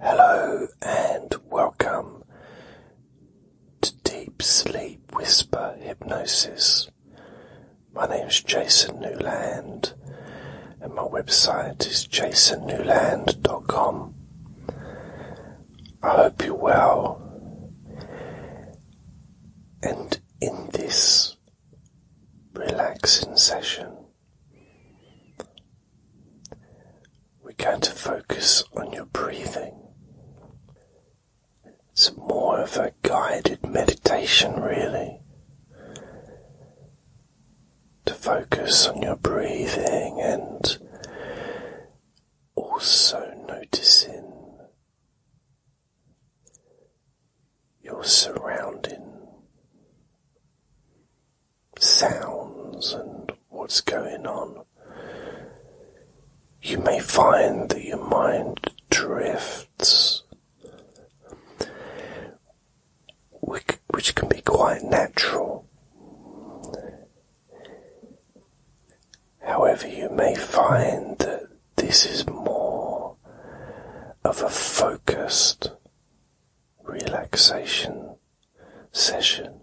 Hello and welcome to Deep Sleep Whisper Hypnosis. My name is Jason Newland and my website is jasonnewland.com. I hope you're well. And in this relaxing session, we're going to focus on your breathing. It's more of a guided meditation, really. To focus on your breathing and also noticing your surrounding sounds and what's going on, you may find that your mind drifts, which can be quite natural. However, you may find that this is more of a focused relaxation session,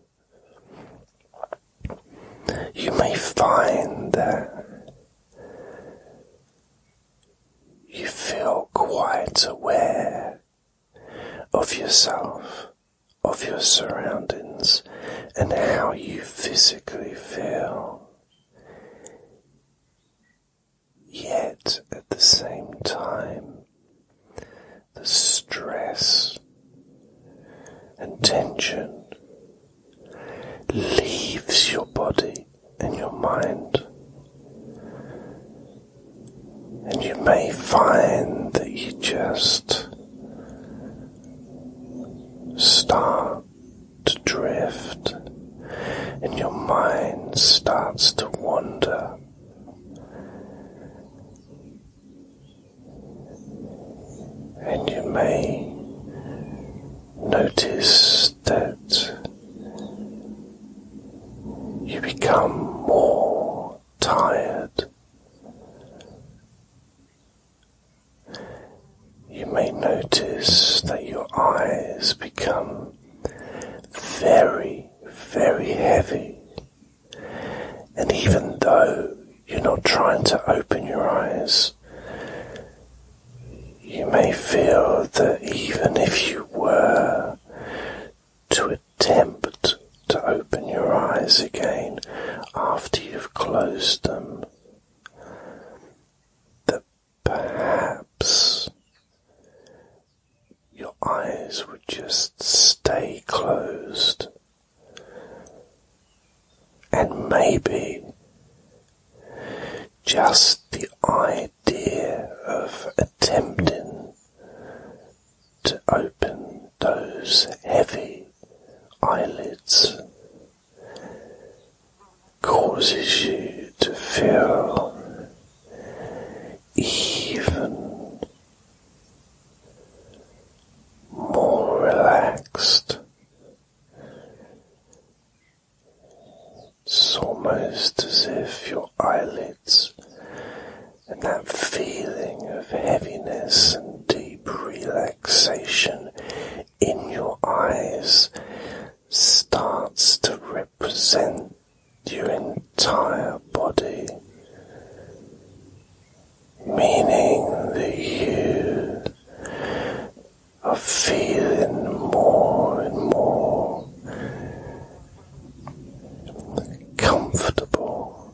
you may find that you feel quite aware of yourself, of your surroundings, and how you physically feel. Yet at the same time, the stress and tension leaves your body and your mind. And you may find that you just start to drift and your mind starts to wander and you may notice that you become more tired. You may notice that your eyes become very, very heavy. And even though you're not trying to open your eyes, you may feel that even if you were to attempt to open your eyes again after you've closed them, that perhaps your eyes would just stay closed. And maybe just the idea of attempting to open those heavy eyelids causes you to feel even more relaxed. It's almost as if your eyelids and that feeling of heaviness and deep relaxation in your eyes starts to represent your entire body, meaning that you are feeling more and more comfortable,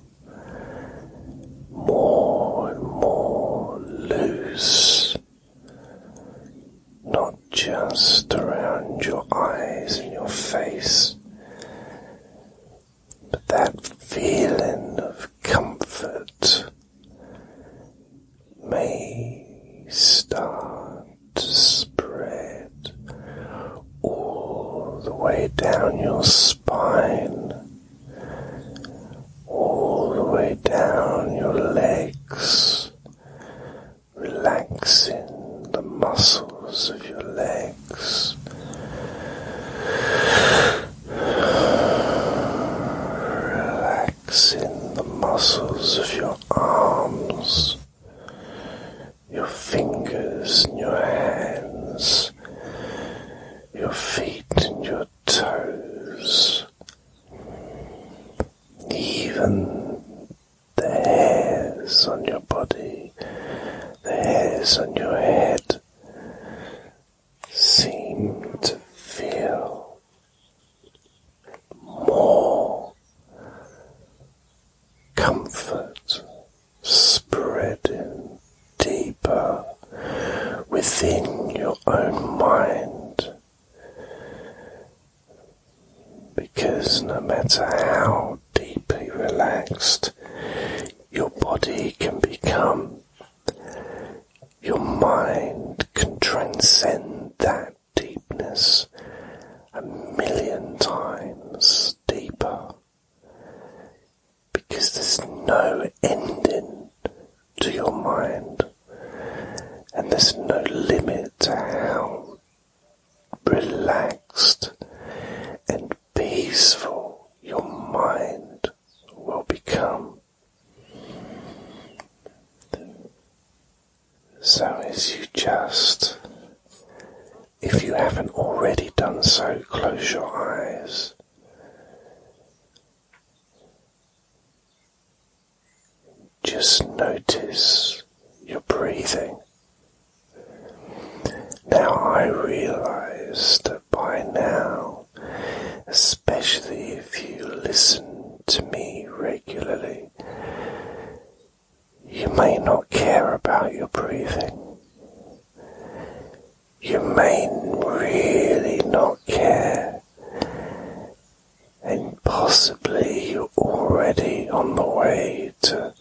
more and more loose, not just around your eyes and your face. But that feeling of comfort may start to spread all the way down your spine, all the way down your legs, relaxing the muscles of your legs. Relax in the muscles of your arms, your fingers and your hands, your feet and your toes, even the hairs on your body, the hairs on your head seem to feel more comfort spreading deeper within your own mind. Because no matter how deeply relaxed, your body can become, your mind can transcend that deepness a million times deeper because there's no ending to your mind and there's no limit to how relaxed, and peaceful your mind will become. So, as you just, if you haven't already done so, close your eyes. Just notice your breathing. Now I realize that by now, especially if you listen to me regularly, you may not care about your breathing. You may really not care. And possibly you're already on the way later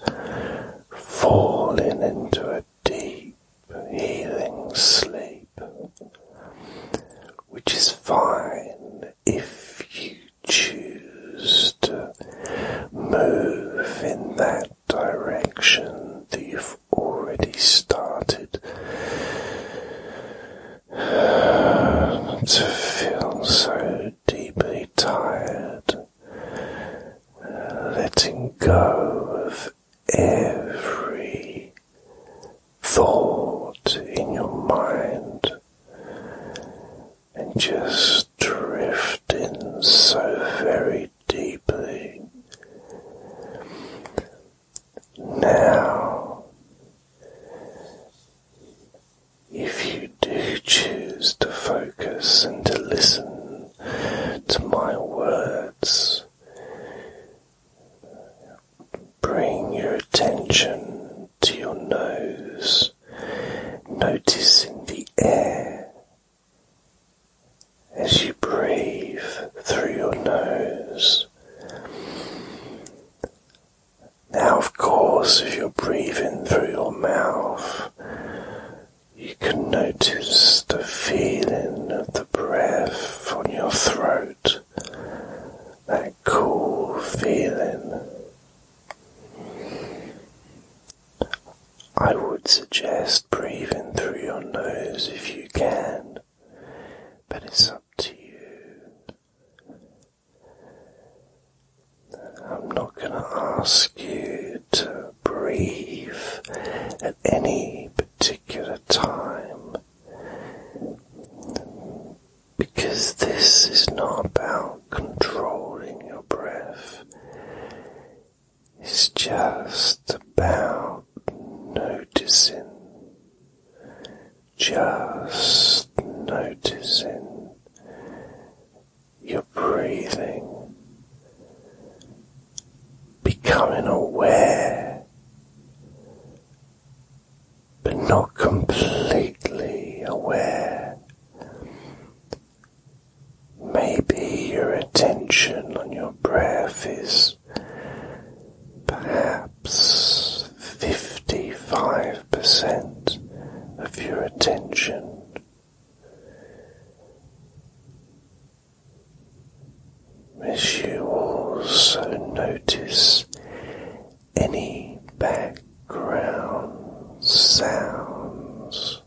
falling into a deep healing sleep, which is fine if you choose to move in that direction that you've already started to feel so deeply tired letting go of every thought in your mind and just drifting so very deeply. Now, if do choose to focus and to listen to my words, bring your attention to your nose, noticing the air as you breathe through your nose. Now, of course, if you're breathing through your mouth, you can notice the feeling of the breath on your throat, that cool feeling. I would suggest breathing through your nose if you can, but it's up to you. I'm not going to ask you to breathe at any particular time because this is not about controlling your breath, it's just about noticing, just noticing. You're breathing, becoming aware, but not completely aware. Maybe your attention on your breath is perhaps 55% of your attention as you also notice any background sounds,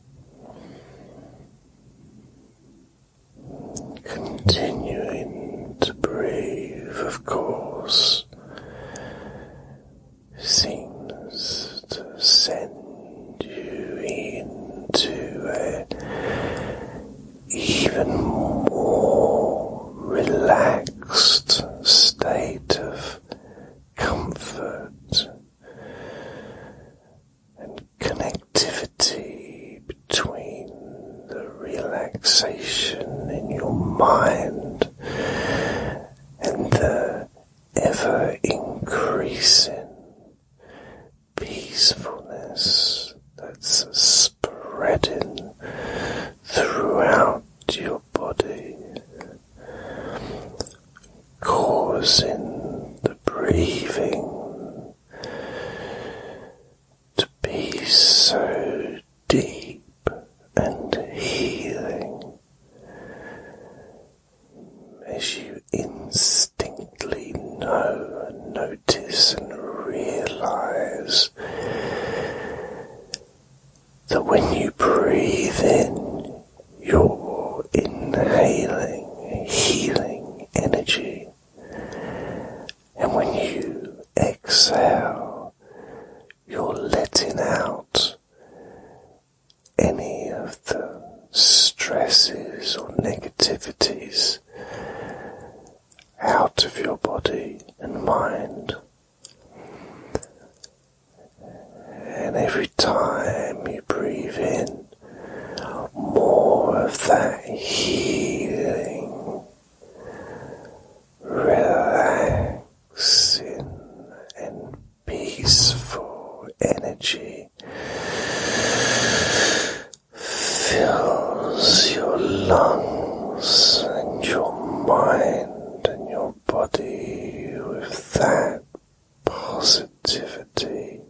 continuing to breathe, of course, seems to send you into an even more relaxed state of comfort and connectivity between the relaxation in your mind and the ever increasing peacefulness that's spreading throughout your body, causing the breathing to be so deep and healing as you instinctively know and notice and realize that when you breathe in, you're inhaling healing energy, and when you exhale, you're letting out any of the stresses or negativities out of your body and mind. And every time you breathe in, more of that healing, relaxing, and peaceful energy fills your lungs and your mind and your body with that positivity,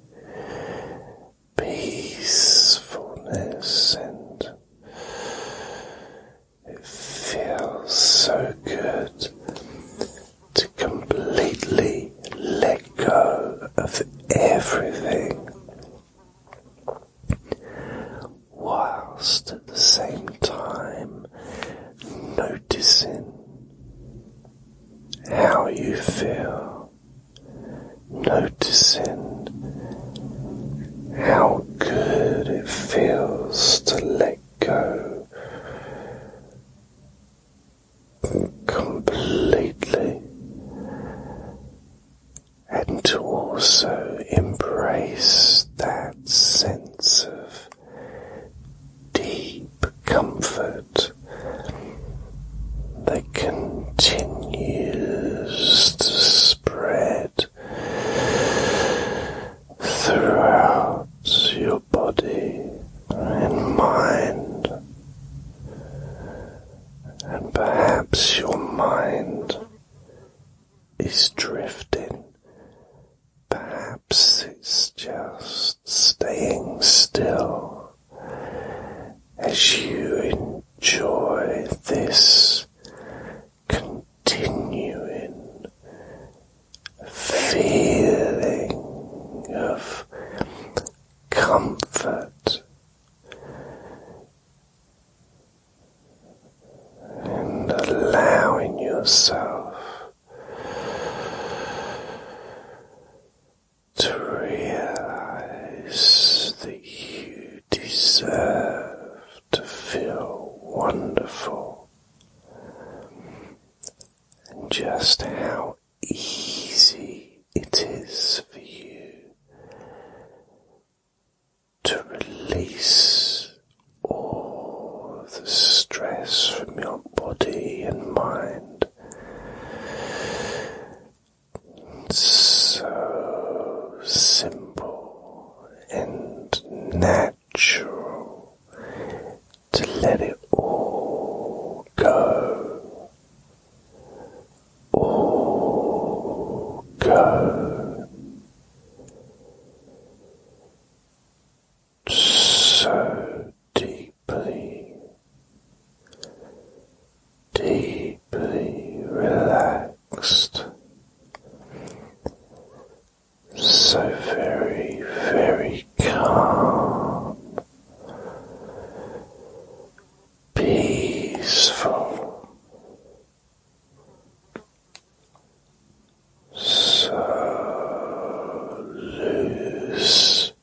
peacefulness, and it feels so good to completely let go of everything, whilst at the same time noticing how you feel, noticing how good it feels to let go completely, and to also embrace that sense of deep comfort that continues to spread throughout your body and mind, and perhaps your mind is drifting. Perhaps it's just staying still as you enjoy this continuing feeling of comfort and allowing yourself to realize that you deserve to feel wonderful and just how easy it is for you to release all the stress from your body and mind. So simple and natural to let it all go, all go. So deeply, deeply relaxed, so very, very calm, peaceful, so loose,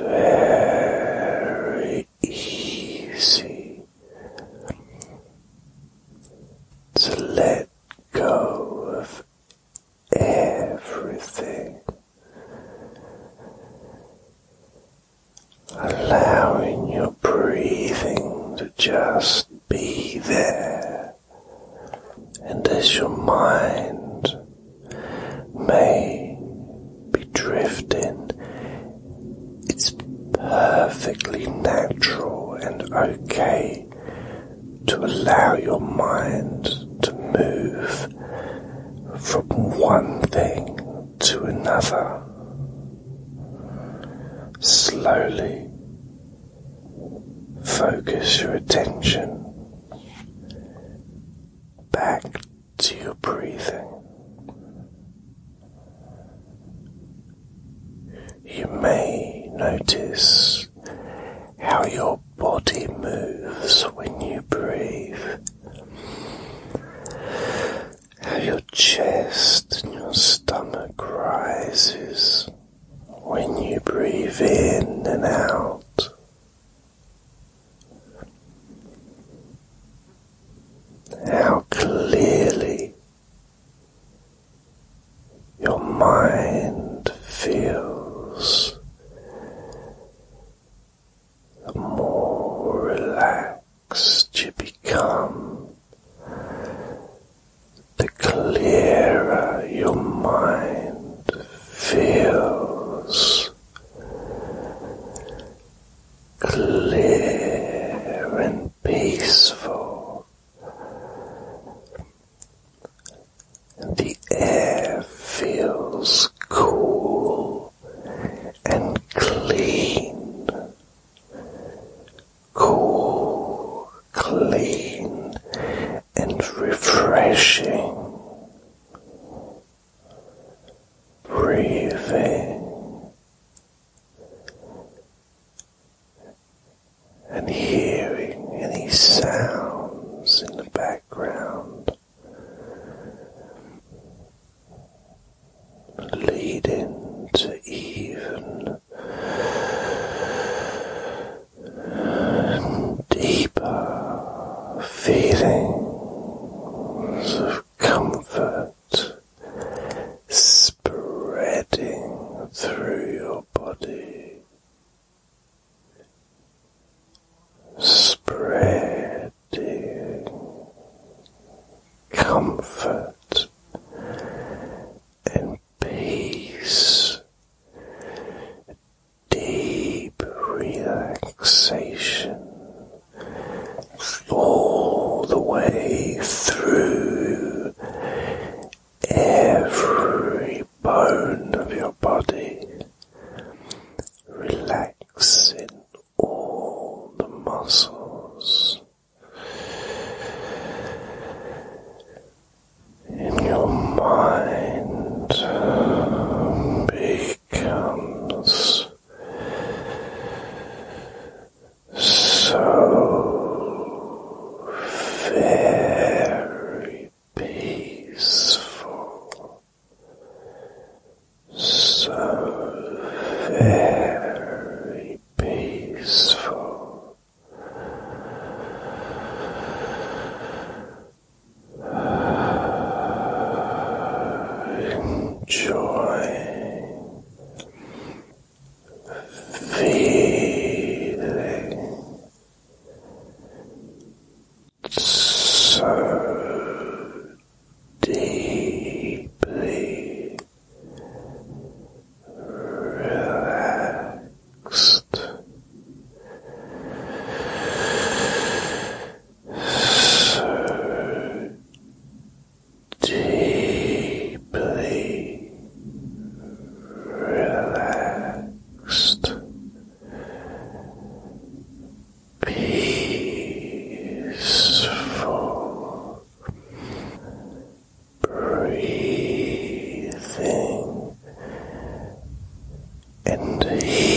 very easy. To let go of everything, allowing your breathing to just be there. And as your mind may be drifting, it's perfectly natural and okay to allow your mind to move from one thing to another slowly. Focus your attention back to your breathing, you may notice how your body moves when you breathe, how your chest and your stomach rises when you breathe in and out. How clearly your mind feels more relaxed you become, the clearer your mind feels. Clear and peaceful the air feels cool and clean. Cool, clean, and refreshing. Breathing and hearing any sounds in the background leading to even deeper feelings of comfort spreading through your body. Spreading comfort and peace, deep relaxation all the way through every bone of your body, relaxing all the muscles and your mind becomes so very peaceful, so very peaceful. Enjoy feeling so deeply relaxed. So deeply relaxed, peaceful breathing and healing.